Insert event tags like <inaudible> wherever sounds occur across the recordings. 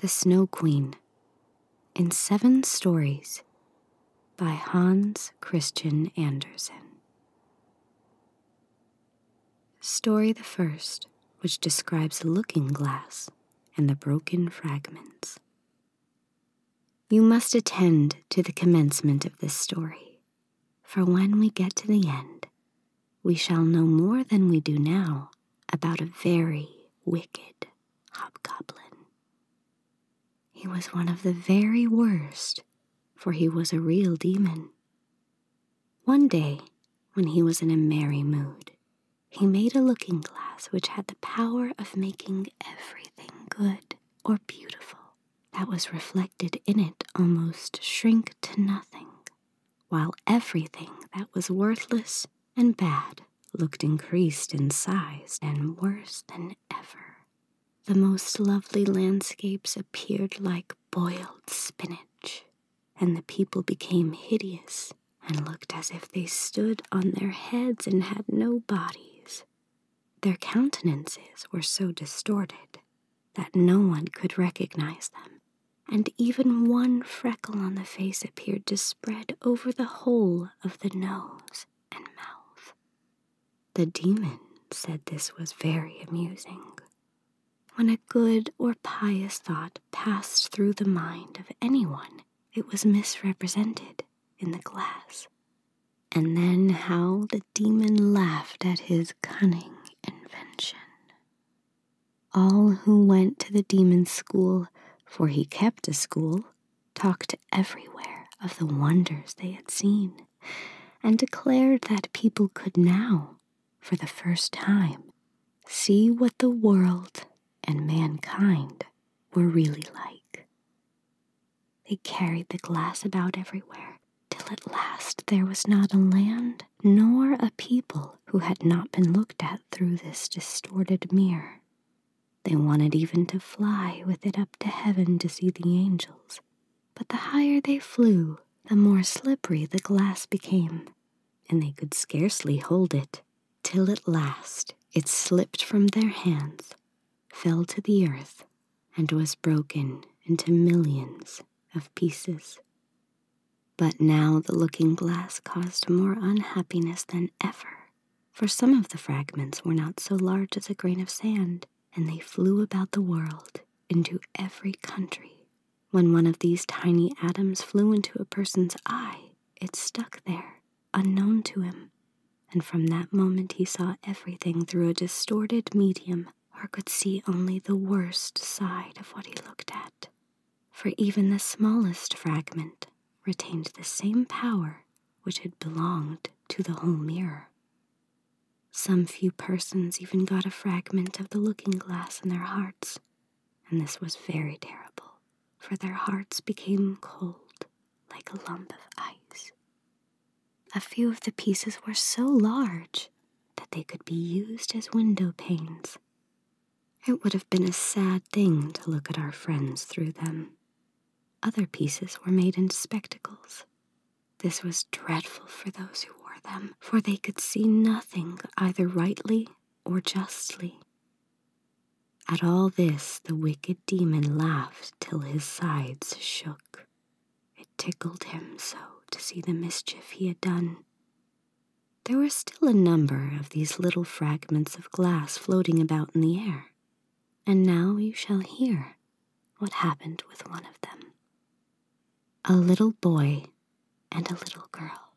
The Snow Queen in seven stories by Hans Christian Andersen. Story the first, which describes a looking glass and the broken fragments. You must attend to the commencement of this story, for when we get to the end, we shall know more than we do now about a very wicked hobgoblin. He was one of the very worst, for he was a real demon. One day, when he was in a merry mood, he made a looking glass which had the power of making everything good or beautiful that was reflected in it almost shrink to nothing, while everything that was worthless and bad looked increased in size and worse than ever the most lovely landscapes appeared like boiled spinach, and the people became hideous and looked as if they stood on their heads and had no bodies. Their countenances were so distorted that no one could recognize them, and even one freckle on the face appeared to spread over the whole of the nose and mouth. The demon said this was very amusing. When a good or pious thought passed through the mind of anyone, it was misrepresented in the glass. And then how the demon laughed at his cunning invention. All who went to the demon's school, for he kept a school, talked everywhere of the wonders they had seen, and declared that people could now, for the first time, see what the world and mankind were really like. They carried the glass about everywhere, till at last there was not a land nor a people who had not been looked at through this distorted mirror. They wanted even to fly with it up to heaven to see the angels, but the higher they flew, the more slippery the glass became, and they could scarcely hold it, till at last it slipped from their hands, fell to the earth, and was broken into millions of pieces. But now the looking glass caused more unhappiness than ever for some of the fragments were not so large as a grain of sand, and they flew about the world into every country. When one of these tiny atoms flew into a person's eye, it stuck there, unknown to him, and from that moment he saw everything through a distorted medium or could see only the worst side of what he looked at. For even the smallest fragment retained the same power which had belonged to the whole mirror. Some few persons even got a fragment of the looking glass in their hearts, and this was very terrible, for their hearts became cold like a lump of ice. A few of the pieces were so large that they could be used as window panes. It would have been a sad thing to look at our friends through them, other pieces were made into spectacles. This was dreadful for those who wore them, for they could see nothing either rightly or justly. At all this, the wicked demon laughed till his sides shook. It tickled him so to see the mischief he had done. There were still a number of these little fragments of glass floating about in the air and now you shall hear what happened with one of them a little boy and a little girl.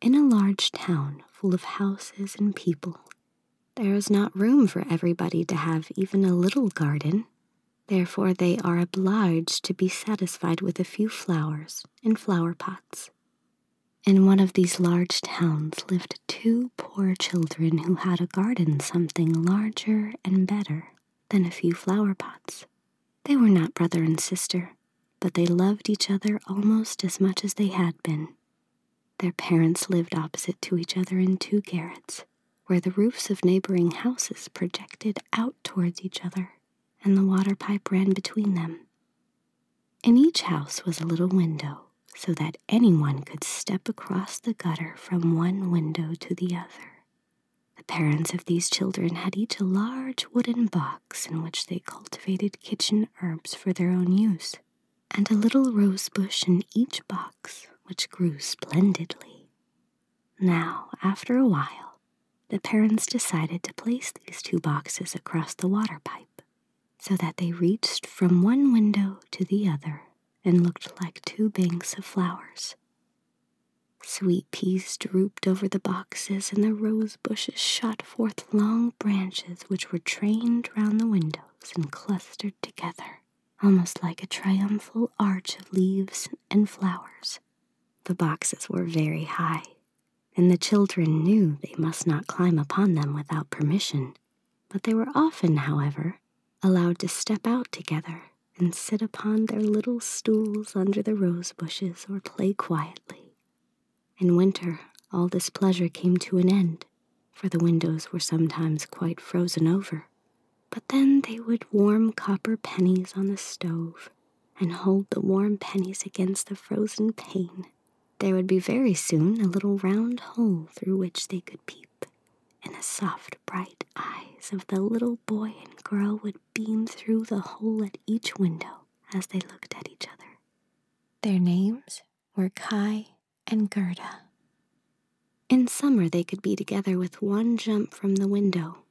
In a large town full of houses and people, there is not room for everybody to have even a little garden. Therefore, they are obliged to be satisfied with a few flowers in flower pots. In one of these large towns, lived two poor children who had a garden something larger and better than a few flower pots. They were not brother and sister, but they loved each other almost as much as they had been. Their parents lived opposite to each other in two garrets, where the roofs of neighboring houses projected out towards each other, and the water pipe ran between them. In each house was a little window so that anyone could step across the gutter from one window to the other. The parents of these children had each a large wooden box in which they cultivated kitchen herbs for their own use, and a little rose bush in each box, which grew splendidly. Now, after a while, the parents decided to place these two boxes across the water pipe, so that they reached from one window to the other and looked like two banks of flowers. Sweet peas drooped over the boxes, and the rose bushes shot forth long branches which were trained round the windows and clustered together, almost like a triumphal arch of leaves and flowers. The boxes were very high, and the children knew they must not climb upon them without permission but they were often, however, allowed to step out together and sit upon their little stools under the rose bushes or play quietly. In winter, all this pleasure came to an end, for the windows were sometimes quite frozen over. But then they would warm copper pennies on the stove and hold the warm pennies against the frozen pane there would be very soon a little round hole through which they could peep, and the soft, bright eyes of the little boy and girl would beam through the hole at each window as they looked at each other. Their names were Kai and Gerda. In summer, they could be together with one jump from the window,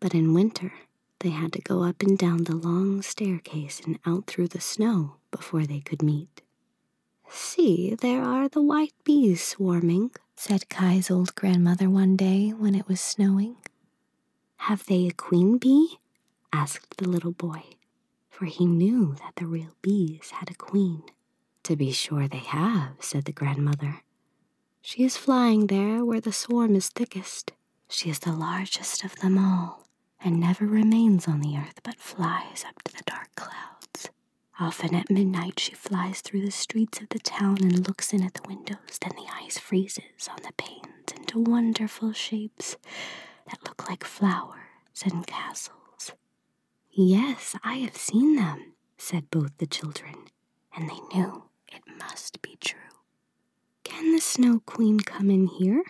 but in winter, they had to go up and down the long staircase and out through the snow before they could meet. See, there are the white bees swarming, said Kai's old grandmother one day when it was snowing. Have they a queen bee? asked the little boy, for he knew that the real bees had a queen. To be sure they have, said the grandmother. She is flying there where the swarm is thickest. She is the largest of them all, and never remains on the earth but flies up to the dark clouds. Often at midnight she flies through the streets of the town and looks in at the windows, then the ice freezes on the panes into wonderful shapes that look like flowers and castles. Yes, I have seen them, said both the children, and they knew it must be true. Can the Snow Queen come in here?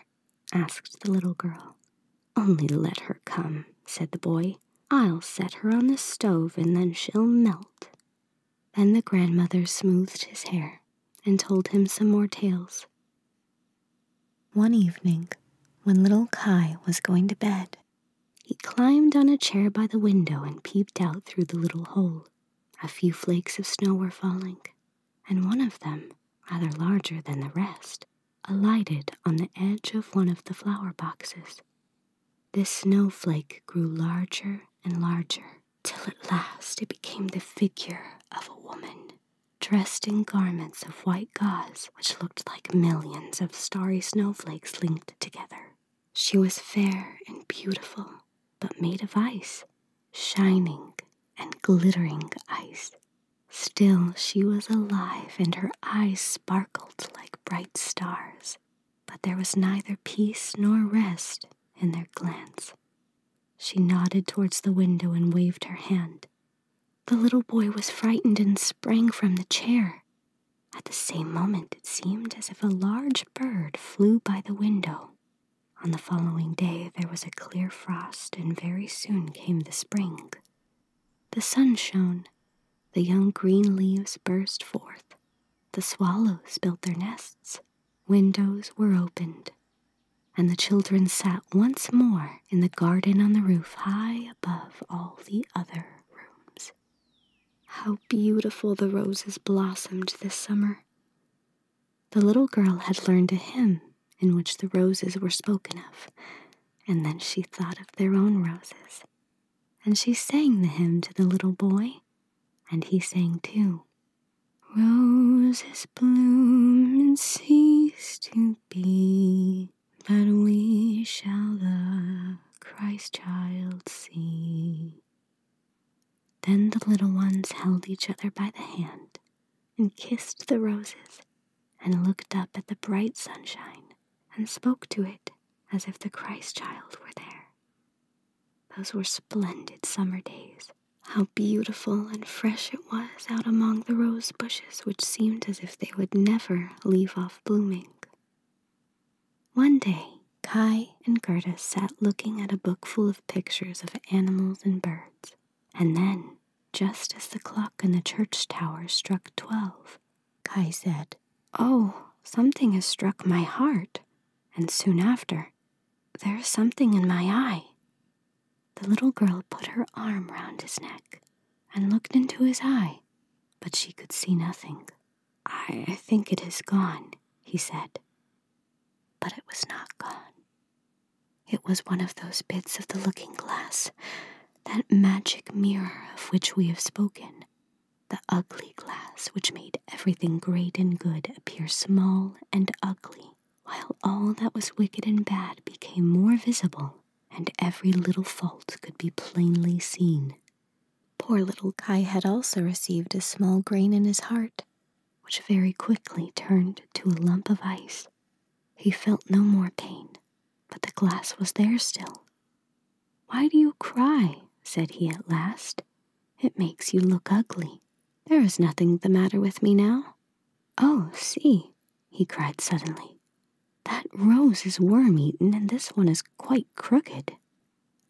asked the little girl. Only let her come, said the boy. I'll set her on the stove and then she'll melt. Then the grandmother smoothed his hair and told him some more tales. One evening, when little Kai was going to bed, he climbed on a chair by the window and peeped out through the little hole. A few flakes of snow were falling, and one of them, rather larger than the rest, alighted on the edge of one of the flower boxes. This snowflake grew larger and larger, till at last it became the figure of a woman, dressed in garments of white gauze which looked like millions of starry snowflakes linked together. She was fair and beautiful, but made of ice, shining and glittering ice. Still, she was alive and her eyes sparkled like bright stars, but there was neither peace nor rest in their glance. She nodded towards the window and waved her hand. The little boy was frightened and sprang from the chair. At the same moment, it seemed as if a large bird flew by the window. On the following day, there was a clear frost, and very soon came the spring. The sun shone, the young green leaves burst forth, the swallows built their nests, windows were opened, and the children sat once more in the garden on the roof high above all the other rooms. How beautiful the roses blossomed this summer! The little girl had learned a hymn in which the roses were spoken of, and then she thought of their own roses. And she sang the hymn to the little boy, and he sang too. Roses bloom and cease to be, but we shall the Christ child see. Then the little ones held each other by the hand and kissed the roses, and looked up at the bright sunshine, and spoke to it as if the Christ child were there. Those were splendid summer days. How beautiful and fresh it was out among the rose bushes, which seemed as if they would never leave off blooming. One day, Kai and Gerda sat looking at a book full of pictures of animals and birds, and then just as the clock in the church tower struck twelve. Kai said, Oh, something has struck my heart. And soon after, there is something in my eye. The little girl put her arm round his neck and looked into his eye, but she could see nothing. I, think it is gone, he said. But it was not gone. It was one of those bits of the looking glass that magic mirror of which we have spoken, the ugly glass which made everything great and good appear small and ugly, while all that was wicked and bad became more visible and every little fault could be plainly seen. Poor little Kai had also received a small grain in his heart, which very quickly turned to a lump of ice he felt no more pain, but the glass was there still. Why do you cry? said he at last. It makes you look ugly. There is nothing the matter with me now. Oh, see, he cried suddenly. That rose is worm eaten and this one is quite crooked.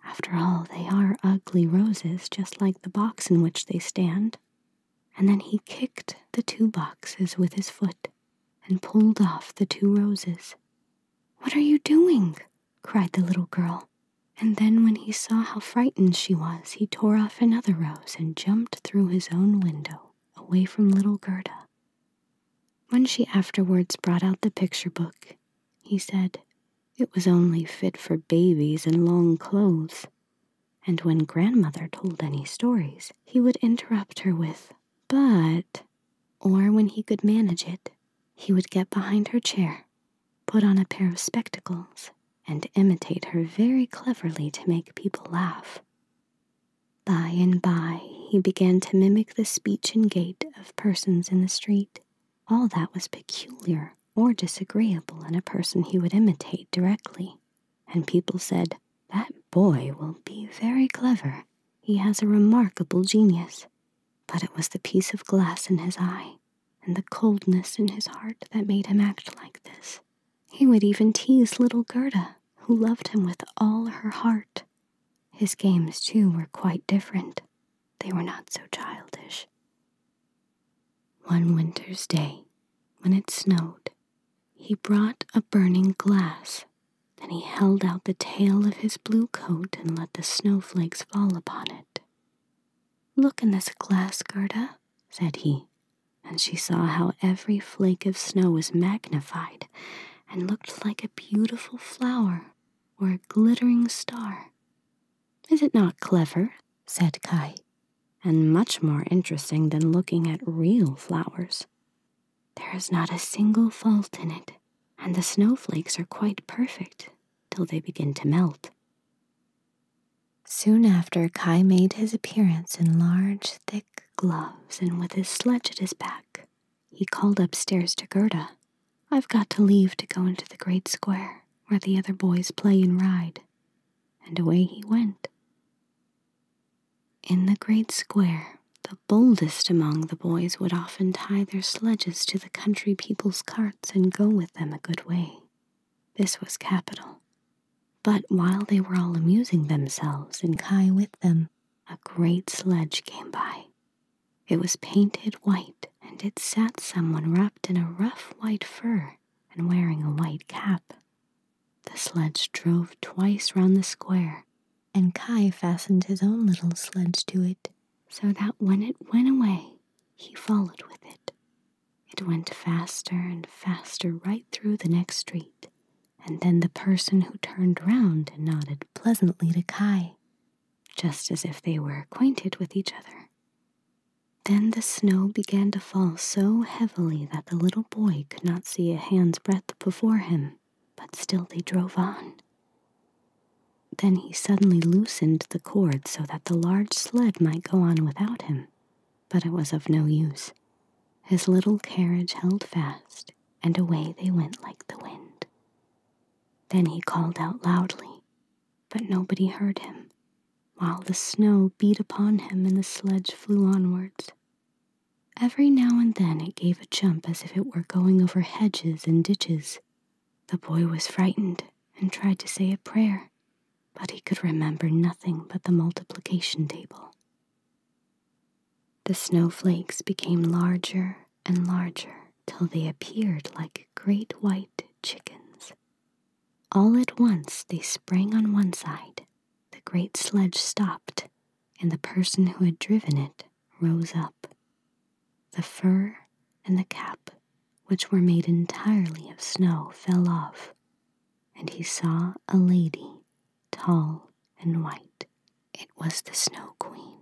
After all, they are ugly roses, just like the box in which they stand. And then he kicked the two boxes with his foot and pulled off the two roses. What are you doing? cried the little girl. And then, when he saw how frightened she was, he tore off another rose and jumped through his own window, away from little Gerda. When she afterwards brought out the picture book, he said, It was only fit for babies and long clothes. And when grandmother told any stories, he would interrupt her with, but, or when he could manage it, he would get behind her chair, put on a pair of spectacles, and imitate her very cleverly to make people laugh. By and by, he began to mimic the speech and gait of persons in the street, all that was peculiar or disagreeable in a person he would imitate directly and people said, That boy will be very clever. He has a remarkable genius. But it was the piece of glass in his eye and the coldness in his heart that made him act like this. He would even tease little Gerda, who loved him with all her heart. His games, too, were quite different. They were not so childish. One winter's day, when it snowed he brought a burning glass. Then he held out the tail of his blue coat and let the snowflakes fall upon it. Look in this glass, Gerda, said he, and she saw how every flake of snow was magnified and looked like a beautiful flower or a glittering star. Is it not clever? said Kai, and much more interesting than looking at real flowers. There is not a single fault in it, and the snowflakes are quite perfect till they begin to melt. Soon after, Kai made his appearance in large, thick gloves and with his sledge at his back. He called upstairs to Gerda. I've got to leave to go into the great square where the other boys play and ride. And away he went. In the great square, the boldest among the boys would often tie their sledges to the country people's carts and go with them a good way. This was capital. But while they were all amusing themselves and Kai with them, a great sledge came by. It was painted white, and it sat someone wrapped in a rough white fur and wearing a white cap. The sledge drove twice round the square, and Kai fastened his own little sledge to it, so that when it went away, he followed with it. It went faster and faster right through the next street, and then the person who turned round and nodded pleasantly to Kai, just as if they were acquainted with each other. Then the snow began to fall so heavily that the little boy could not see a hand's breadth before him but still they drove on. Then he suddenly loosened the cord so that the large sled might go on without him, but it was of no use. His little carriage held fast, and away they went like the wind. Then he called out loudly, but nobody heard him, while the snow beat upon him and the sledge flew onwards, Every now and then it gave a jump as if it were going over hedges and ditches. The boy was frightened and tried to say a prayer, but he could remember nothing but the multiplication table. The snowflakes became larger and larger till they appeared like great white chickens. All at once they sprang on one side. The great sledge stopped, and the person who had driven it rose up. The fur and the cap, which were made entirely of snow, fell off, and he saw a lady, tall and white. It was the Snow Queen.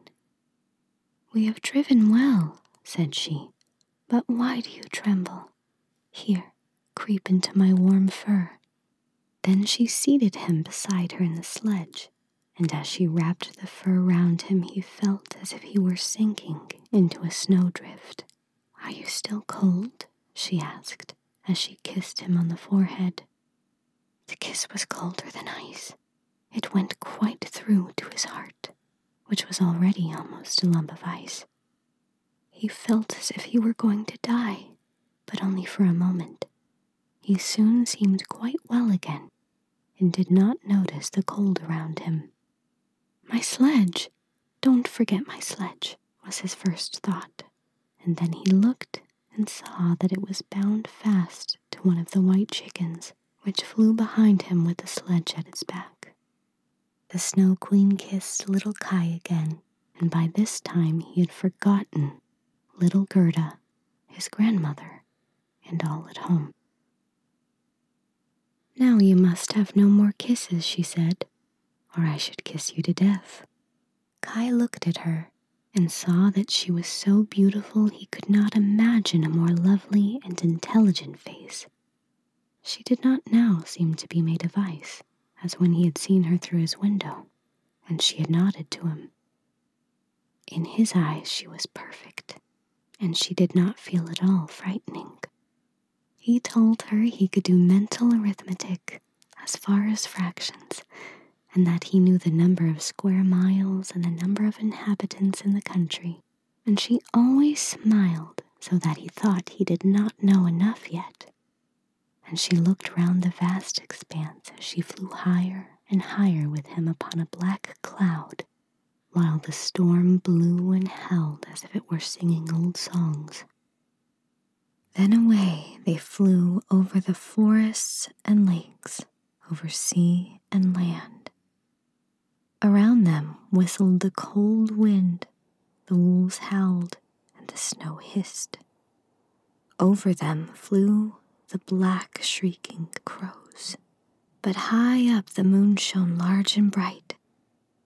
We have driven well, said she, but why do you tremble? Here, creep into my warm fur, then she seated him beside her in the sledge, and as she wrapped the fur round him, he felt as if he were sinking into a snowdrift. Are you still cold? she asked as she kissed him on the forehead. The kiss was colder than ice. It went quite through to his heart, which was already almost a lump of ice. He felt as if he were going to die, but only for a moment, he soon seemed quite well again and did not notice the cold around him. My sledge! Don't forget my sledge, was his first thought, and then he looked and saw that it was bound fast to one of the white chickens which flew behind him with the sledge at its back. The Snow Queen kissed little Kai again and by this time he had forgotten little Gerda, his grandmother, and all at home. Now you must have no more kisses, she said, or I should kiss you to death. Kai looked at her and saw that she was so beautiful he could not imagine a more lovely and intelligent face. She did not now seem to be made of ice, as when he had seen her through his window, and she had nodded to him. In his eyes, she was perfect, and she did not feel at all frightening. He told her he could do mental arithmetic as far as fractions, and that he knew the number of square miles and the number of inhabitants in the country, and she always smiled so that he thought he did not know enough yet and she looked round the vast expanse as she flew higher and higher with him upon a black cloud, while the storm blew and held as if it were singing old songs. Then away they flew over the forests and lakes, over sea and land. Around them whistled the cold wind, the wolves howled, and the snow hissed. Over them flew the black shrieking crows. But high up the moon shone large and bright,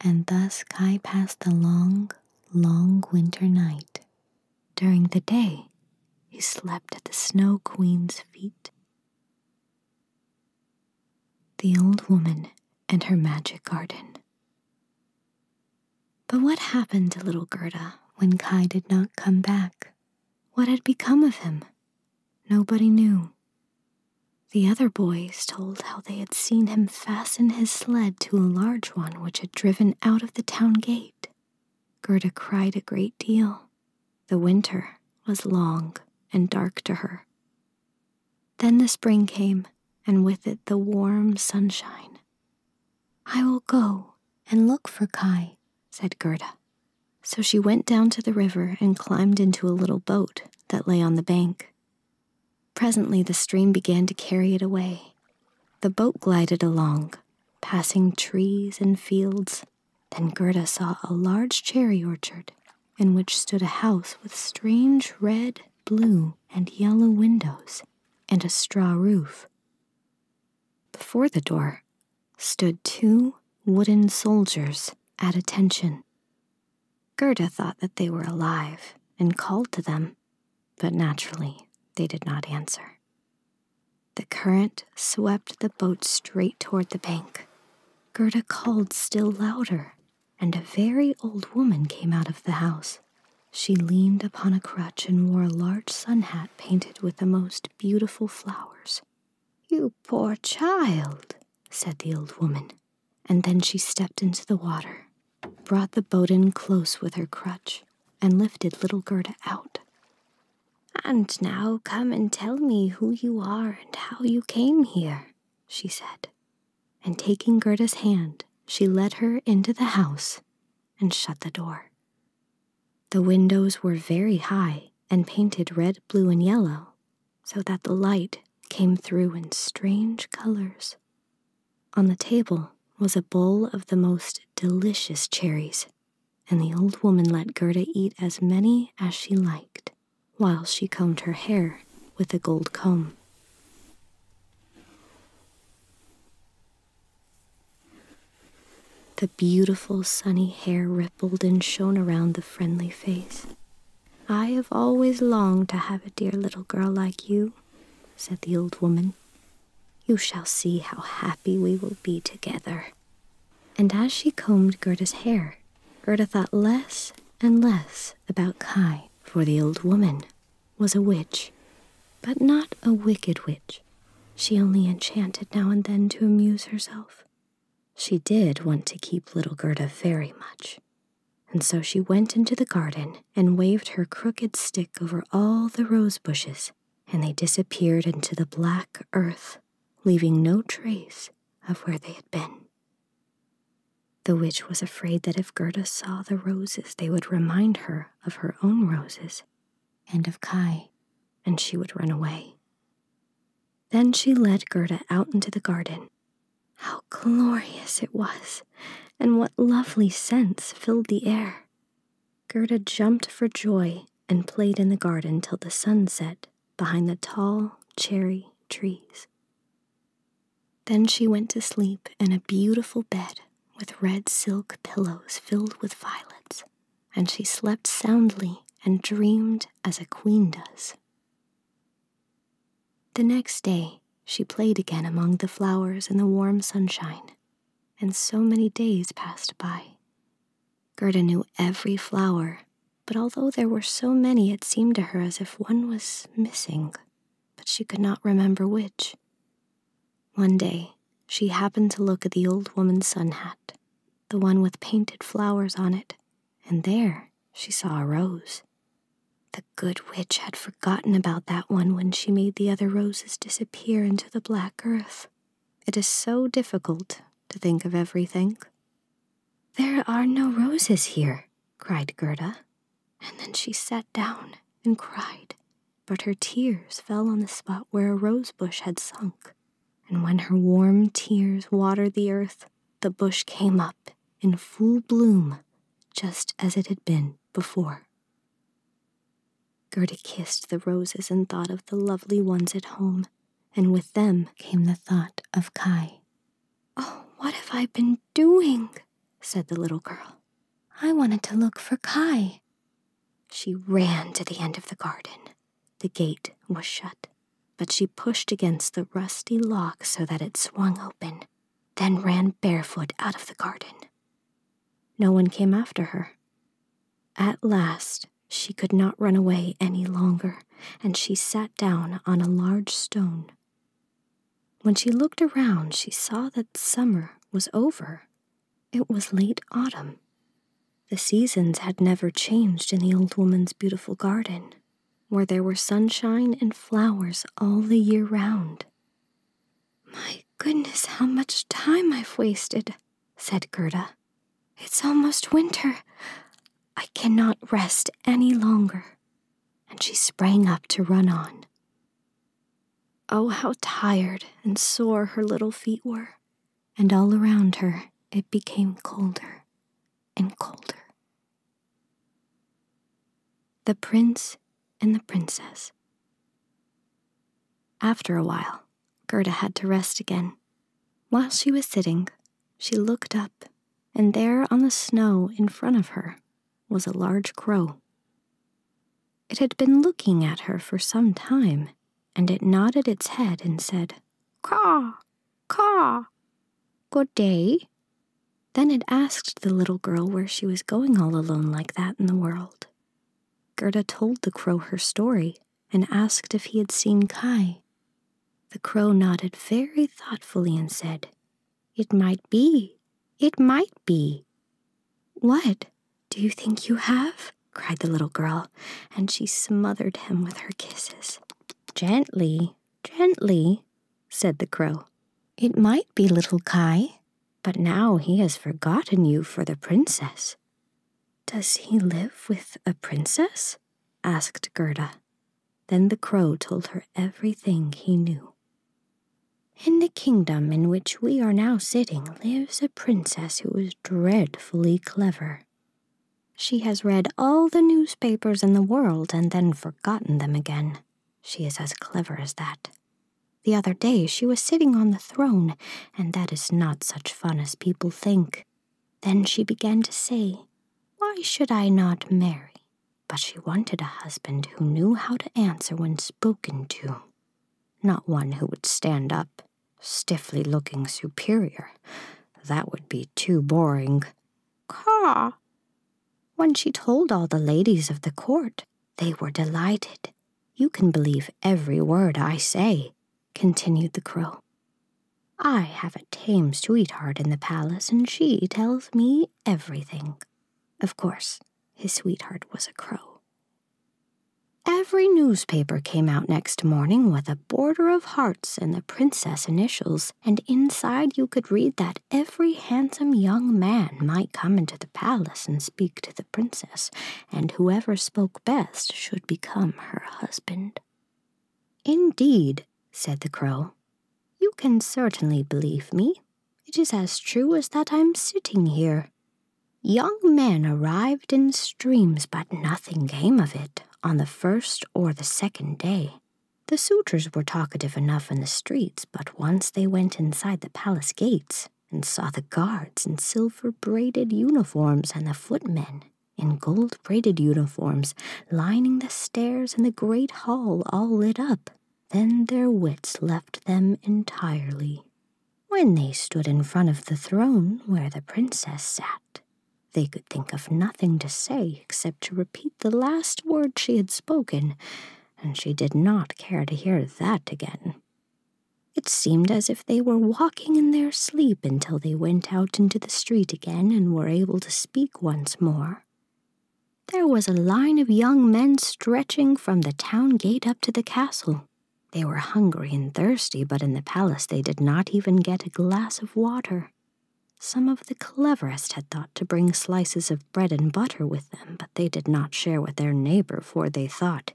and thus Kai passed the long, long winter night. During the day, he slept at the Snow Queen's feet. The Old Woman and Her Magic Garden. But what happened to little Gerda when Kai did not come back? What had become of him? Nobody knew. The other boys told how they had seen him fasten his sled to a large one which had driven out of the town gate. Gerda cried a great deal. The winter was long and dark to her. Then the spring came, and with it the warm sunshine. I will go and look for Kai, said Gerda. So she went down to the river and climbed into a little boat that lay on the bank. Presently, the stream began to carry it away. The boat glided along, passing trees and fields. Then Gerda saw a large cherry orchard in which stood a house with strange red, blue, and yellow windows and a straw roof. Before the door stood two wooden soldiers at attention. Gerda thought that they were alive and called to them, but naturally they did not answer. The current swept the boat straight toward the bank. Gerda called still louder, and a very old woman came out of the house. She leaned upon a crutch and wore a large sun hat painted with the most beautiful flowers. You poor child, said the old woman, and then she stepped into the water, brought the boat in close with her crutch, and lifted little Gerda out. And now come and tell me who you are and how you came here, she said. And taking Gerda's hand, she led her into the house and shut the door. The windows were very high and painted red, blue, and yellow, so that the light came through in strange colors. On the table was a bowl of the most delicious cherries, and the old woman let Gerda eat as many as she liked while she combed her hair with a gold comb. The beautiful sunny hair rippled and shone around the friendly face. I have always longed to have a dear little girl like you, said the old woman. You shall see how happy we will be together. And as she combed Gerda's hair, Gerda thought less and less about Kai, for the old woman was a witch, but not a wicked witch. She only enchanted now and then to amuse herself. She did want to keep little Gerda very much, and so she went into the garden and waved her crooked stick over all the rose bushes, and they disappeared into the black earth, leaving no trace of where they had been. The witch was afraid that if Gerda saw the roses, they would remind her of her own roses, and of Kai, and she would run away. Then she led Gerda out into the garden. How glorious it was, and what lovely scents filled the air! Gerda jumped for joy and played in the garden till the sun set behind the tall cherry trees. Then she went to sleep in a beautiful bed with red silk pillows filled with violets, and she slept soundly and dreamed as a queen does. The next day she played again among the flowers in the warm sunshine, and so many days passed by. Gerda knew every flower, but although there were so many, it seemed to her as if one was missing, but she could not remember which. One day, she happened to look at the old woman's sun hat, the one with painted flowers on it, and there she saw a rose. The good witch had forgotten about that one when she made the other roses disappear into the black earth. It is so difficult to think of everything. There are no roses here, cried Gerda, and then she sat down and cried but her tears fell on the spot where a rose bush had sunk. And when her warm tears watered the earth, the bush came up in full bloom, just as it had been before. Gerda kissed the roses and thought of the lovely ones at home, and with them came the thought of Kai. Oh, what have I been doing? said the little girl. I wanted to look for Kai, she ran to the end of the garden. The gate was shut, but she pushed against the rusty lock so that it swung open, then ran barefoot out of the garden. No one came after her. At last, she could not run away any longer, and she sat down on a large stone. When she looked around, she saw that summer was over it was late autumn. The seasons had never changed in the old woman's beautiful garden, where there were sunshine and flowers all the year round. My goodness, how much time I've wasted, said Gerda. It's almost winter. I cannot rest any longer. And she sprang up to run on. Oh, how tired and sore her little feet were, and all around her it became colder and colder. The Prince and the Princess. After a while, Gerda had to rest again. While she was sitting, she looked up, and there on the snow in front of her was a large crow. It had been looking at her for some time, and it nodded its head and said, Caw, caw, good day. Then it asked the little girl where she was going all alone like that in the world. Gerda told the crow her story and asked if he had seen Kai. The crow nodded very thoughtfully and said, It might be, it might be. What? Do you think you have? cried the little girl, and she smothered him with her kisses. Gently, gently, said the crow. It might be little Kai, but now he has forgotten you for the princess. Does he live with a princess? asked Gerda. Then the crow told her everything he knew. In the kingdom in which we are now sitting lives a princess who is dreadfully clever. She has read all the newspapers in the world and then forgotten them again. She is as clever as that. The other day she was sitting on the throne, and that is not such fun as people think. Then she began to say, Why should I not marry? But she wanted a husband who knew how to answer when spoken to not one who would stand up, stiffly looking superior. That would be too boring. Caw! When she told all the ladies of the court, they were delighted. You can believe every word I say, continued the crow. I have a tame sweetheart in the palace, and she tells me everything. Of course, his sweetheart was a crow, Every newspaper came out next morning with a border of hearts and the princess initials, and inside you could read that every handsome young man might come into the palace and speak to the princess, and whoever spoke best should become her husband. Indeed, said the crow, you can certainly believe me. It is as true as that I'm sitting here. Young men arrived in streams, but nothing came of it on the first or the second day. The suitors were talkative enough in the streets, but once they went inside the palace gates and saw the guards in silver braided uniforms and the footmen in gold braided uniforms lining the stairs in the great hall all lit up, then their wits left them entirely. When they stood in front of the throne where the princess sat, they could think of nothing to say except to repeat the last word she had spoken, and she did not care to hear that again. It seemed as if they were walking in their sleep until they went out into the street again and were able to speak once more. There was a line of young men stretching from the town gate up to the castle. They were hungry and thirsty, but in the palace they did not even get a glass of water. Some of the cleverest had thought to bring slices of bread and butter with them, but they did not share with their neighbor, for they thought,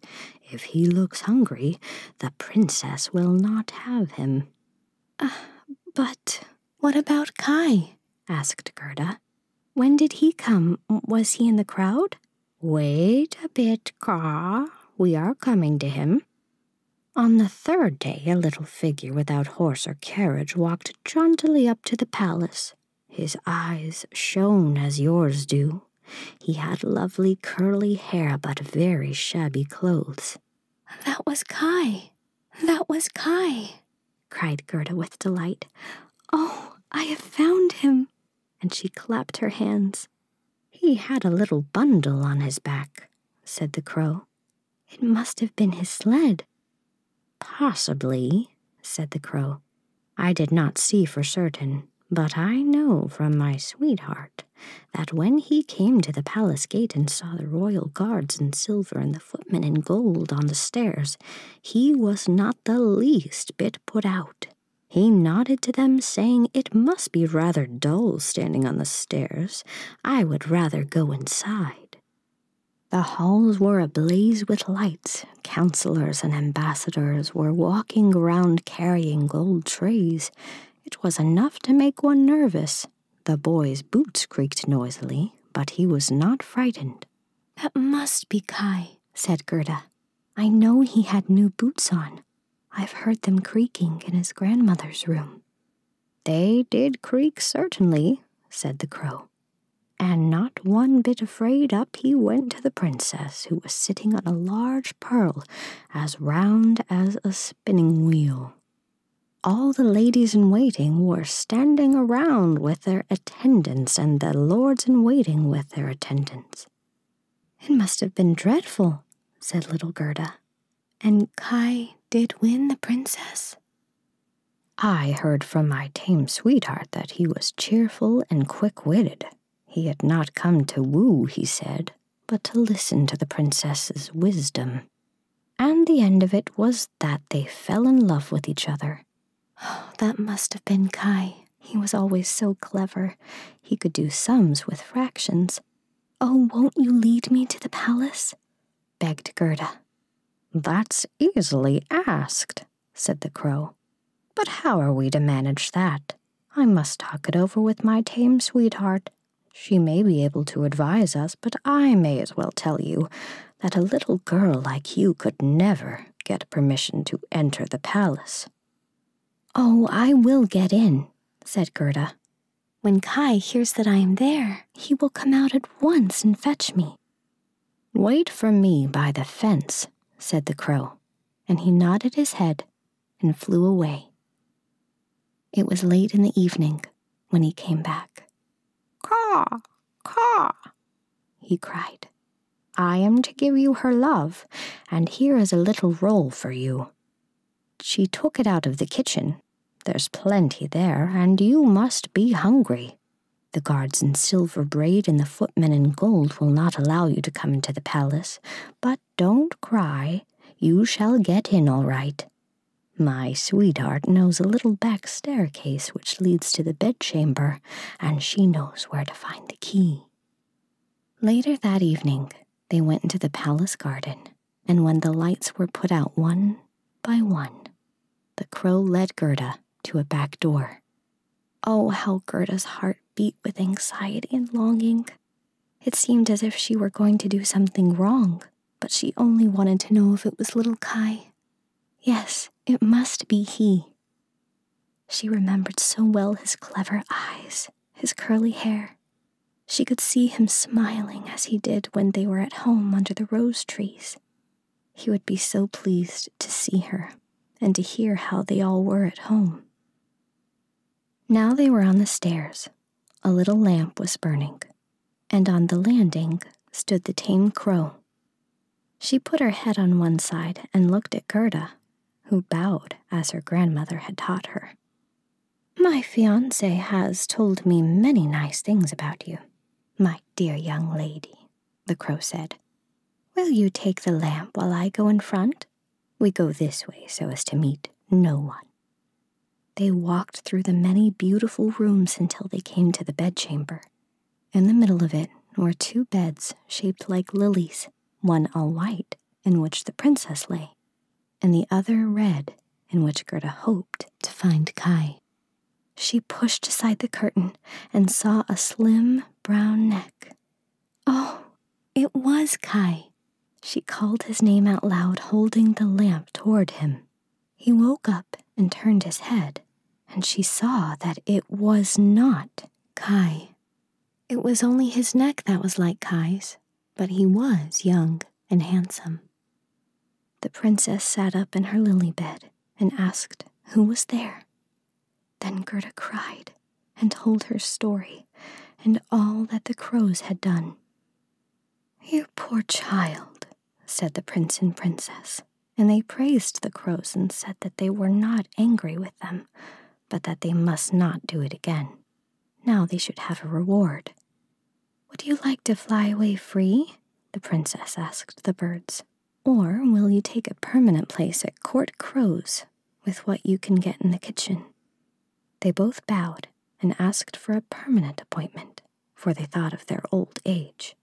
if he looks hungry, the princess will not have him. Ah, but what about Kai? asked Gerda. When did he come? Was he in the crowd? Wait a bit, Caw. We are coming to him. On the third day, a little figure without horse or carriage walked jauntily up to the palace. His eyes shone as yours do. He had lovely curly hair but very shabby clothes. That was Kai. That was Kai, cried Gerda with delight. Oh, I have found him and she clapped her hands. He had a little bundle on his back, said the crow. It must have been his sled. Possibly, said the crow. I did not see for certain, but I know from my sweetheart that when he came to the palace gate and saw the royal guards in silver and the footmen in gold on the stairs, he was not the least bit put out. He nodded to them, saying it must be rather dull standing on the stairs. I would rather go inside. The halls were ablaze with lights. Councilors and ambassadors were walking around carrying gold trays. It was enough to make one nervous. The boy's boots creaked noisily, but he was not frightened. That must be Kai, said Gerda. I know he had new boots on. I've heard them creaking in his grandmother's room. They did creak, certainly, said the crow. And not one bit afraid, up he went to the princess, who was sitting on a large pearl as round as a spinning wheel. All the ladies in waiting were standing around with their attendants, and the lords in waiting with their attendants. It must have been dreadful, said little Gerda. And Kai did win the princess? I heard from my tame sweetheart that he was cheerful and quick witted. He had not come to woo, he said, but to listen to the princess's wisdom. And the end of it was that they fell in love with each other. Oh, <gasps> that must have been Kai, he was always so clever. He could do sums with fractions. Oh, won't you lead me to the palace? begged Gerda. That's easily asked, said the crow. But how are we to manage that? I must talk it over with my tame sweetheart. She may be able to advise us, but I may as well tell you that a little girl like you could never get permission to enter the palace. Oh, I will get in, said Gerda. When Kai hears that I am there, he will come out at once and fetch me. Wait for me by the fence, said the crow, and he nodded his head and flew away. It was late in the evening when he came back. Caw, caw, he cried. I am to give you her love, and here is a little roll for you. She took it out of the kitchen. There's plenty there, and you must be hungry. The guards in silver braid and the footmen in gold will not allow you to come into the palace, but don't cry. You shall get in all right. My sweetheart knows a little back staircase which leads to the bedchamber, and she knows where to find the key. Later that evening, they went into the palace garden, and when the lights were put out one by one, the crow led Gerda to a back door. Oh, how Gerda's heart beat with anxiety and longing. It seemed as if she were going to do something wrong, but she only wanted to know if it was little Kai. Yes, it must be he, she remembered so well his clever eyes, his curly hair. She could see him smiling as he did when they were at home under the rose trees. He would be so pleased to see her and to hear how they all were at home. Now they were on the stairs. A little lamp was burning, and on the landing stood the tame crow. She put her head on one side and looked at Gerda, who bowed as her grandmother had taught her. My fiance has told me many nice things about you, my dear young lady, the crow said. Will you take the lamp while I go in front? We go this way so as to meet no one. They walked through the many beautiful rooms until they came to the bedchamber. In the middle of it were two beds shaped like lilies one all white, in which the princess lay, and the other red, in which Gerda hoped to find Kai. She pushed aside the curtain and saw a slim brown neck. Oh, it was Kai. She called his name out loud, holding the lamp toward him. He woke up and turned his head, and she saw that it was not Kai. It was only his neck that was like Kai's, but he was young and handsome. The princess sat up in her lily bed and asked who was there. Then Gerda cried and told her story and all that the crows had done. You poor child, said the prince and princess, and they praised the crows and said that they were not angry with them, but that they must not do it again. Now they should have a reward. Would you like to fly away free? the princess asked the birds. Or will you take a permanent place at Court Crow's with what you can get in the kitchen? They both bowed and asked for a permanent appointment, for they thought of their old age.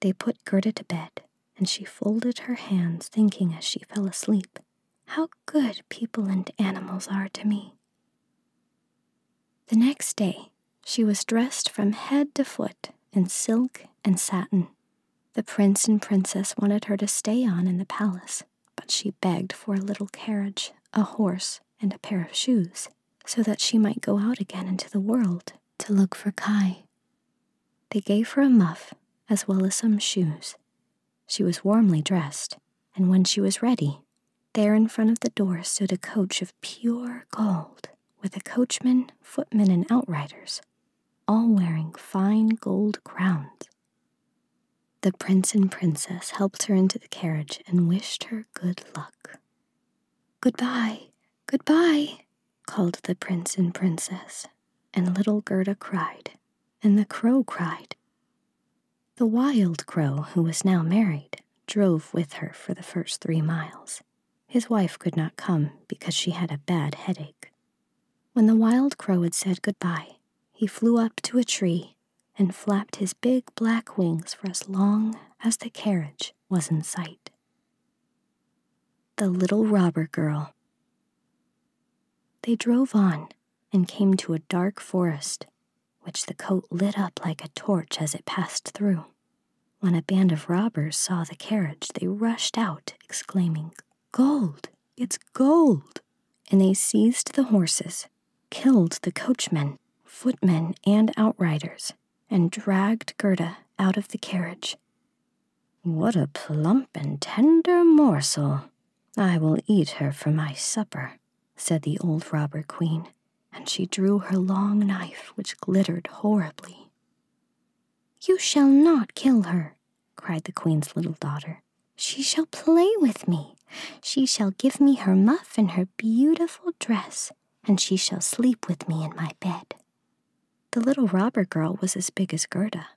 They put Gerda to bed and she folded her hands, thinking as she fell asleep, How good people and animals are to me. The next day, she was dressed from head to foot in silk and satin. The prince and princess wanted her to stay on in the palace, but she begged for a little carriage, a horse, and a pair of shoes, so that she might go out again into the world to look for Kai. They gave her a muff as well as some shoes. She was warmly dressed, and when she was ready, there in front of the door stood a coach of pure gold, with a coachman, footmen, and outriders, all wearing fine gold crowns. The prince and princess helped her into the carriage and wished her good luck. Goodbye, goodbye, called the prince and princess, and little Gerda cried, and the crow cried. The wild crow, who was now married, drove with her for the first three miles. His wife could not come because she had a bad headache. When the wild crow had said good goodbye, he flew up to a tree and flapped his big black wings for as long as the carriage was in sight. The Little Robber Girl. They drove on and came to a dark forest, which the coat lit up like a torch as it passed through. When a band of robbers saw the carriage, they rushed out, exclaiming, Gold! It's gold! And they seized the horses, killed the coachman, footmen, and outriders, and dragged Gerda out of the carriage. What a plump and tender morsel! I will eat her for my supper, said the old robber queen, and she drew her long knife, which glittered horribly. You shall not kill her, cried the queen's little daughter. She shall play with me. She shall give me her muff and her beautiful dress, and she shall sleep with me in my bed. The little robber girl was as big as Gerda,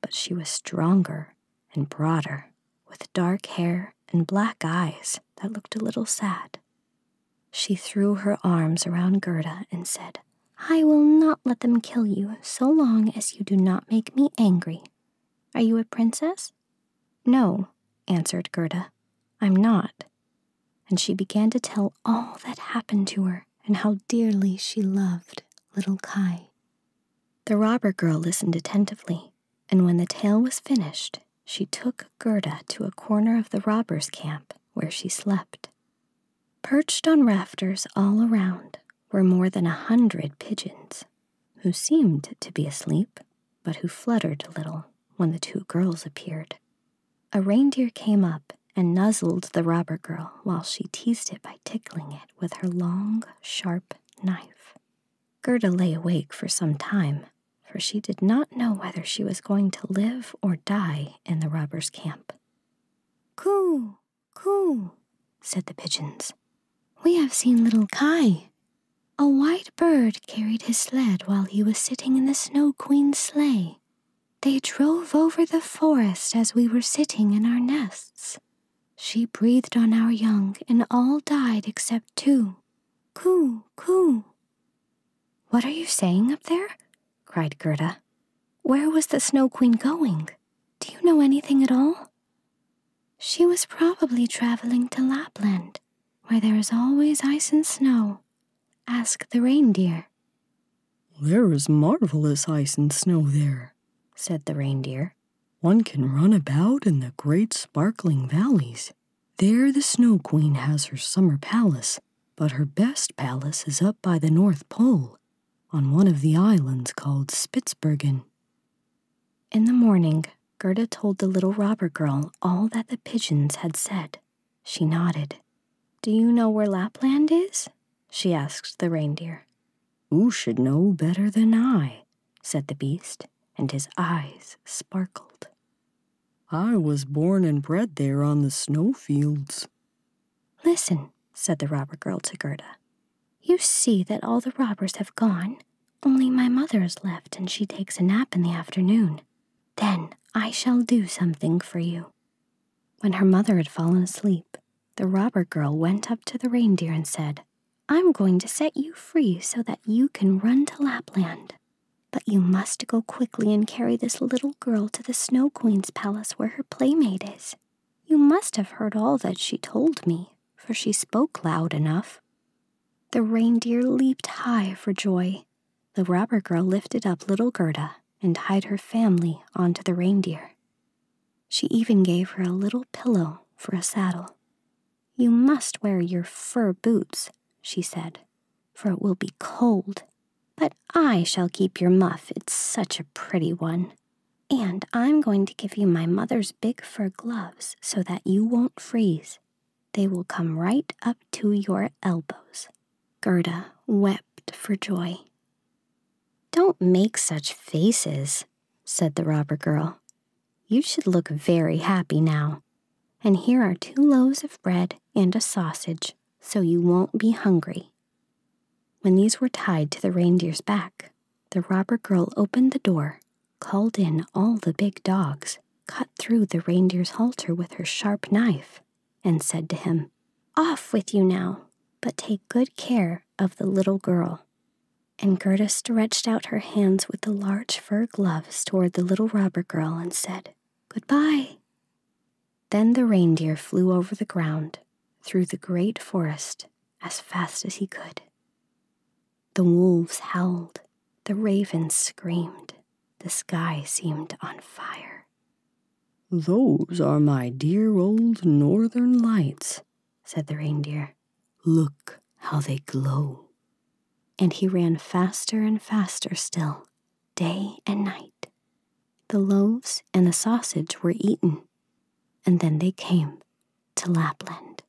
but she was stronger and broader, with dark hair and black eyes that looked a little sad. She threw her arms around Gerda and said, I will not let them kill you so long as you do not make me angry. Are you a princess? No, answered Gerda. I'm not. And she began to tell all that happened to her and how dearly she loved little Kai. The robber girl listened attentively, and when the tale was finished, she took Gerda to a corner of the robbers' camp where she slept. Perched on rafters all around were more than a hundred pigeons, who seemed to be asleep, but who fluttered a little when the two girls appeared. A reindeer came up and nuzzled the robber girl while she teased it by tickling it with her long, sharp knife. Gerda lay awake for some time, for she did not know whether she was going to live or die in the robbers' camp. Coo, coo, said the pigeons. We have seen little Kai. A white bird carried his sled while he was sitting in the Snow Queen's sleigh. They drove over the forest as we were sitting in our nests. She breathed on our young, and all died except two. Coo, coo. What are you saying up there? cried Gerda. Where was the Snow Queen going? Do you know anything at all? She was probably traveling to Lapland, where there is always ice and snow. Ask the reindeer. There is marvelous ice and snow there, said the reindeer. One can run about in the great sparkling valleys. There the Snow Queen has her summer palace, but her best palace is up by the North Pole, on one of the islands called Spitzbergen. In the morning, Gerda told the little robber girl all that the pigeons had said. She nodded. Do you know where Lapland is? She asked the reindeer. Who should know better than I, said the beast, and his eyes sparkled. I was born and bred there on the snow fields." Listen, said the robber girl to Gerda. You see that all the robbers have gone. Only my mother is left, and she takes a nap in the afternoon. Then I shall do something for you. When her mother had fallen asleep, the robber girl went up to the reindeer and said, I'm going to set you free so that you can run to Lapland. But you must go quickly and carry this little girl to the Snow Queen's palace where her playmate is. You must have heard all that she told me, for she spoke loud enough. The reindeer leaped high for joy. The robber girl lifted up little Gerda and tied her family onto the reindeer. She even gave her a little pillow for a saddle. You must wear your fur boots, she said, for it will be cold. But I shall keep your muff, it's such a pretty one. And I'm going to give you my mother's big fur gloves so that you won't freeze. They will come right up to your elbows. Gerda wept for joy. Don't make such faces, said the robber girl. You should look very happy now. And here are two loaves of bread and a sausage, so you won't be hungry. When these were tied to the reindeer's back, the robber girl opened the door, called in all the big dogs, cut through the reindeer's halter with her sharp knife, and said to him, off with you now, but take good care of the little girl. And Gerda stretched out her hands with the large fur gloves toward the little robber girl and said, good-bye. Then the reindeer flew over the ground through the great forest as fast as he could. The wolves howled, the ravens screamed, the sky seemed on fire. Those are my dear old northern lights, said the reindeer. Look how they glow. And he ran faster and faster still, day and night. The loaves and the sausage were eaten, and then they came to Lapland.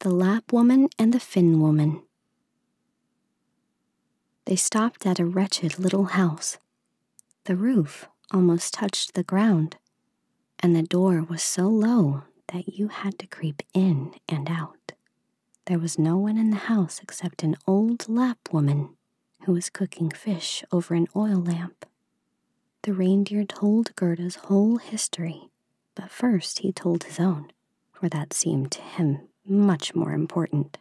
The Lap Woman and the Finn Woman. They stopped at a wretched little house the roof almost touched the ground, and the door was so low that you had to creep in and out. There was no one in the house except an old lap woman who was cooking fish over an oil lamp. The reindeer told Gerda's whole history, but first he told his own, for that seemed to him much more important.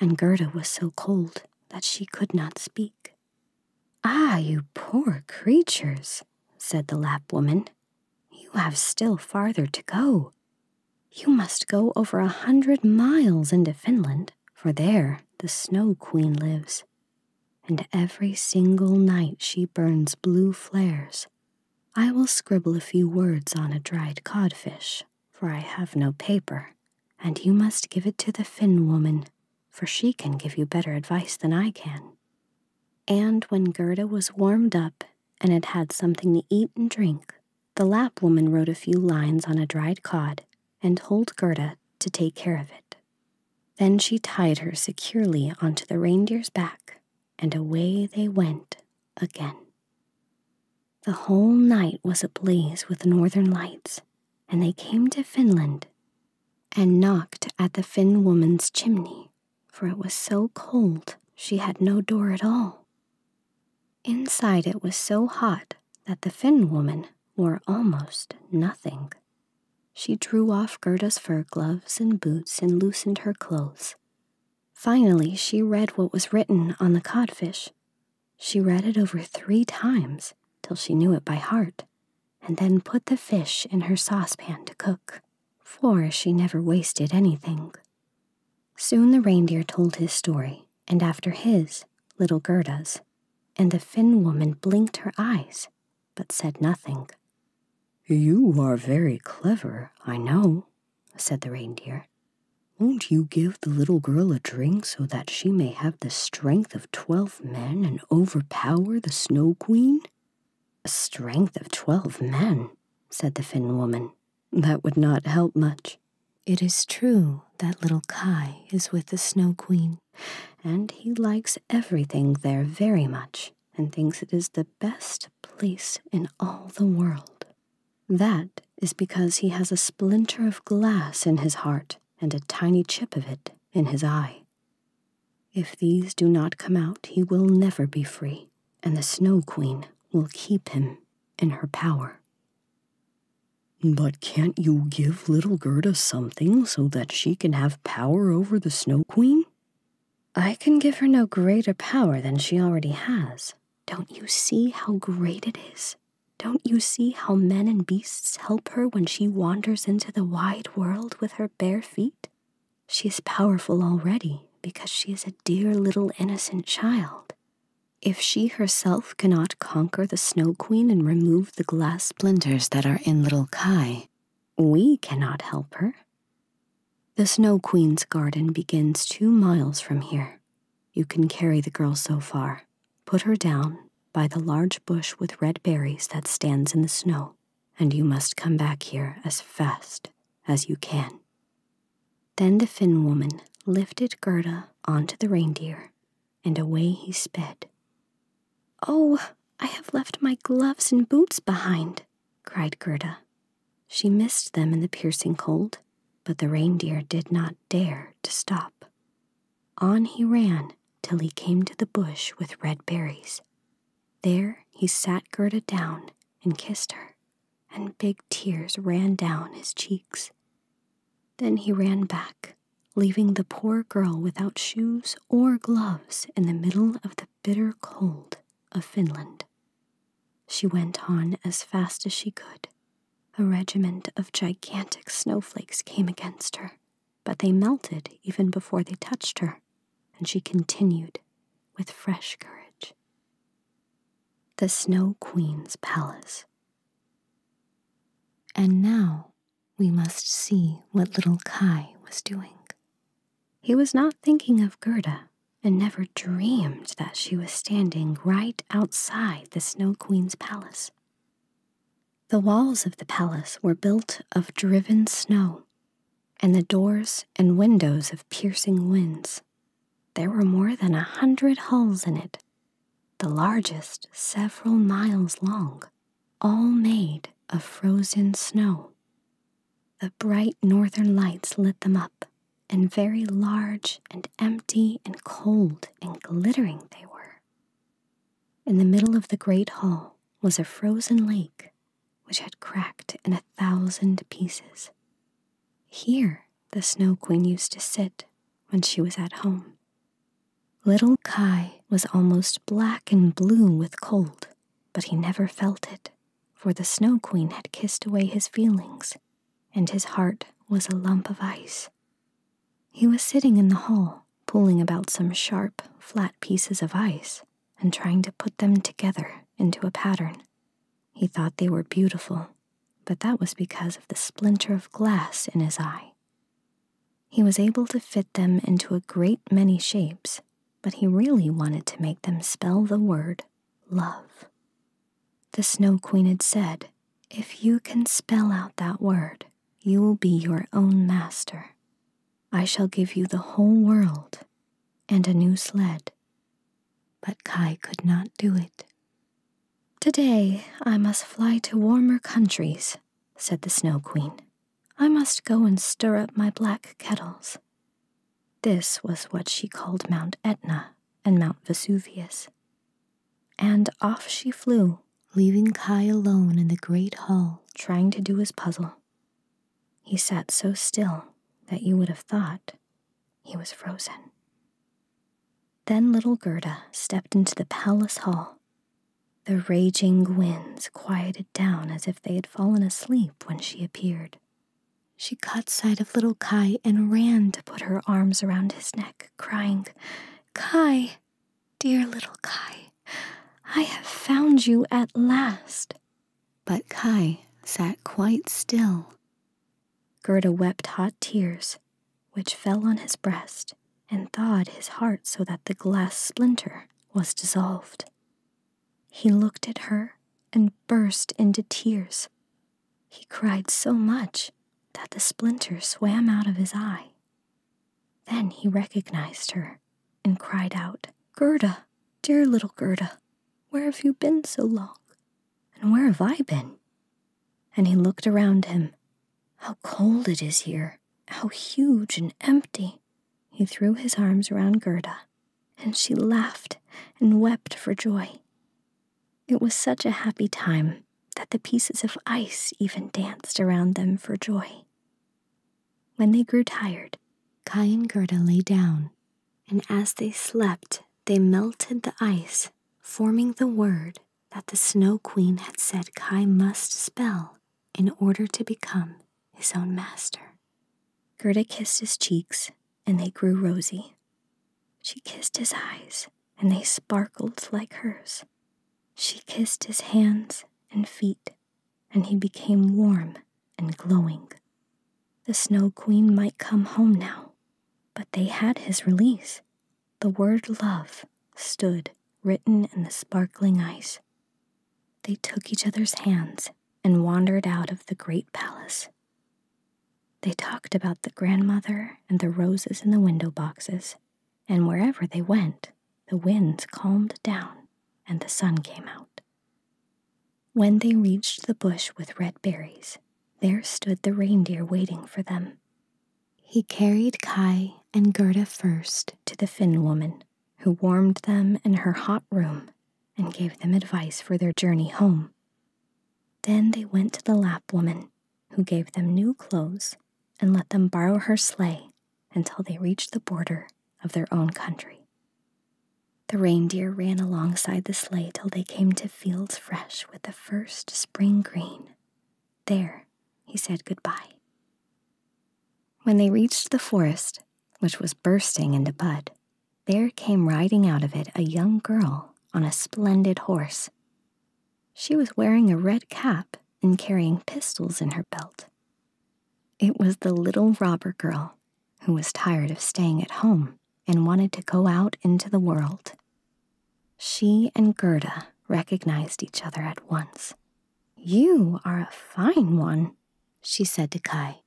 And Gerda was so cold that she could not speak. Ah, you poor creatures, said the Lap woman. You have still farther to go. You must go over a hundred miles into Finland, for there the Snow Queen lives. And every single night she burns blue flares. I will scribble a few words on a dried codfish, for I have no paper, and you must give it to the Finn woman, for she can give you better advice than I can. And when Gerda was warmed up and had had something to eat and drink, the Lap woman wrote a few lines on a dried cod and told Gerda to take care of it. Then she tied her securely onto the reindeer's back, and away they went again. The whole night was ablaze with northern lights, and they came to Finland and knocked at the Finn woman's chimney, for it was so cold she had no door at all. Inside it was so hot that the Finn woman wore almost nothing. She drew off Gerda's fur gloves and boots and loosened her clothes. Finally, she read what was written on the codfish, she read it over three times till she knew it by heart, and then put the fish in her saucepan to cook, for she never wasted anything. Soon the reindeer told his story, and after his, little Gerda's, and the Finn woman blinked her eyes, but said nothing. You are very clever, I know, said the reindeer. Won't you give the little girl a drink so that she may have the strength twelve men and overpower the Snow Queen? A strength of twelve men, said the Finn woman. That would not help much. It is true that little Kai is with the Snow Queen, and he likes everything there very much and thinks it is the best place in all the world. That is because he has a splinter of glass in his heart and a tiny chip of it in his eye. If these do not come out, he will never be free, and the Snow Queen will keep him in her power. But can't you give little Gerda something so that she can have power over the Snow Queen? I can give her no greater power than she already has. Don't you see how great it is? Don't you see how men and beasts help her when she wanders into the wide world with her bare feet? She is powerful already because she is a dear little innocent child. If she herself cannot conquer the Snow Queen and remove the glass splinters that are in little Kai, we cannot help her. The Snow Queen's garden begins two miles from here. You can carry the girl so far, Put her down by the large bush with red berries that stands in the snow, and you must come back here as fast as you can. Then the Finn woman lifted Gerda onto the reindeer, and away he sped. Oh, I have left my gloves and boots behind, cried Gerda. She missed them in the piercing cold, but the reindeer did not dare to stop. On he ran till he came to the bush with red berries. There he sat Gerda down and kissed her, and big tears ran down his cheeks. Then he ran back, leaving the poor girl without shoes or gloves in the middle of the bitter cold of Finland. She went on as fast as she could, a regiment of gigantic snowflakes came against her, but they melted even before they touched her, and she continued with fresh courage. The Snow Queen's Palace. And now we must see what little Kai was doing. He was not thinking of Gerda and never dreamed that she was standing right outside the Snow Queen's palace. The walls of the palace were built of driven snow, and the doors and windows of piercing winds. There were more than a hundred halls in it, the largest several miles long, all made of frozen snow. The bright northern lights lit them up, and very large and empty and cold and glittering they were. In the middle of the great hall was a frozen lake which had cracked in a thousand pieces. Here the Snow Queen used to sit when she was at home. Little Kai was almost black and blue with cold, but he never felt it, for the Snow Queen had kissed away his feelings, and his heart was a lump of ice he was sitting in the hall, pulling about some sharp, flat pieces of ice and trying to put them together into a pattern. He thought they were beautiful, but that was because of the splinter of glass in his eye. He was able to fit them into a great many shapes, but he really wanted to make them spell the word love. The Snow Queen had said, If you can spell out that word, you will be your own master. I shall give you the whole world and a new sled. But Kai could not do it. Today I must fly to warmer countries, said the Snow Queen. I must go and stir up my black kettles. This was what she called Mount Etna and Mount Vesuvius. And off she flew, leaving Kai alone in the great hall, trying to do his puzzle. He sat so still that you would have thought he was frozen. Then little Gerda stepped into the palace hall. The raging winds quieted down as if they had fallen asleep when she appeared. She caught sight of little Kai and ran to put her arms around his neck, crying, Kai, Dear little Kai, I have found you at last. But Kai sat quite still. Gerda wept hot tears, which fell on his breast and thawed his heart so that the glass splinter was dissolved. He looked at her and burst into tears. He cried so much that the splinter swam out of his eye then he recognized her and cried out, Gerda, dear little Gerda, where have you been so long? And where have I been? And he looked around him. How cold it is here! How huge and empty! He threw his arms around Gerda, and she laughed and wept for joy. It was such a happy time that the pieces of ice even danced around them for joy. When they grew tired, Kai and Gerda lay down, and as they slept, they melted the ice, forming the word that the Snow Queen had said Kai must spell in order to become his own master. Gerda kissed his cheeks, and they grew rosy. She kissed his eyes, and they sparkled like hers. She kissed his hands and feet, and he became warm and glowing. The Snow Queen might come home now, but they had his release. The word love stood written in the sparkling ice. They took each other's hands and wandered out of the great palace. They talked about the grandmother and the roses in the window boxes and wherever they went, the winds calmed down and the sun came out. When they reached the bush with red berries, there stood the reindeer waiting for them. He carried Kai and Gerda first to the Finn woman, who warmed them in her hot room and gave them advice for their journey home. Then they went to the Lap woman who gave them new clothes and let them borrow her sleigh until they reached the border of their own country. The reindeer ran alongside the sleigh till they came to fields fresh with the first spring green. There he said good-bye. When they reached the forest, which was bursting into bud, there came riding out of it a young girl on a splendid horse she was wearing a red cap and carrying pistols in her belt. It was the little robber girl who was tired of staying at home and wanted to go out into the world. She and Gerda recognized each other at once. You are a fine one, she said to Kai.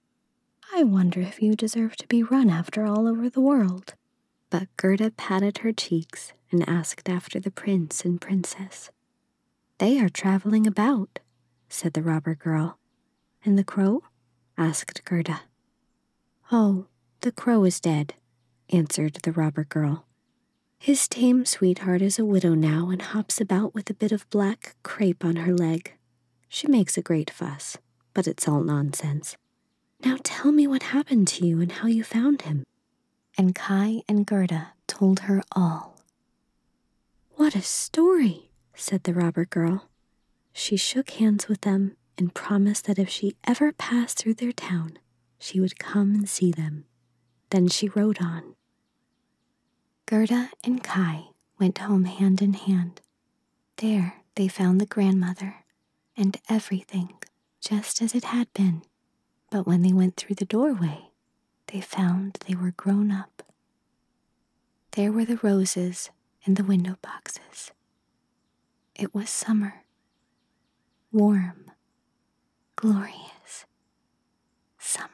I wonder if you deserve to be run after all over the world. But Gerda patted her cheeks and asked after the prince and princess. They are traveling about, said the robber girl. And the crow? asked Gerda. Oh, the crow is dead, answered the robber girl. His tame sweetheart is a widow now and hops about with a bit of black crape on her leg. She makes a great fuss, but it's all nonsense. Now tell me what happened to you and how you found him and Kai and Gerda told her all. What a story, said the robber girl. She shook hands with them and promised that if she ever passed through their town, she would come and see them. Then she rode on. Gerda and Kai went home hand in hand. There they found the grandmother, and everything just as it had been. But when they went through the doorway, they found they were grown up. There were the roses in the window boxes. It was summer, warm, glorious summer.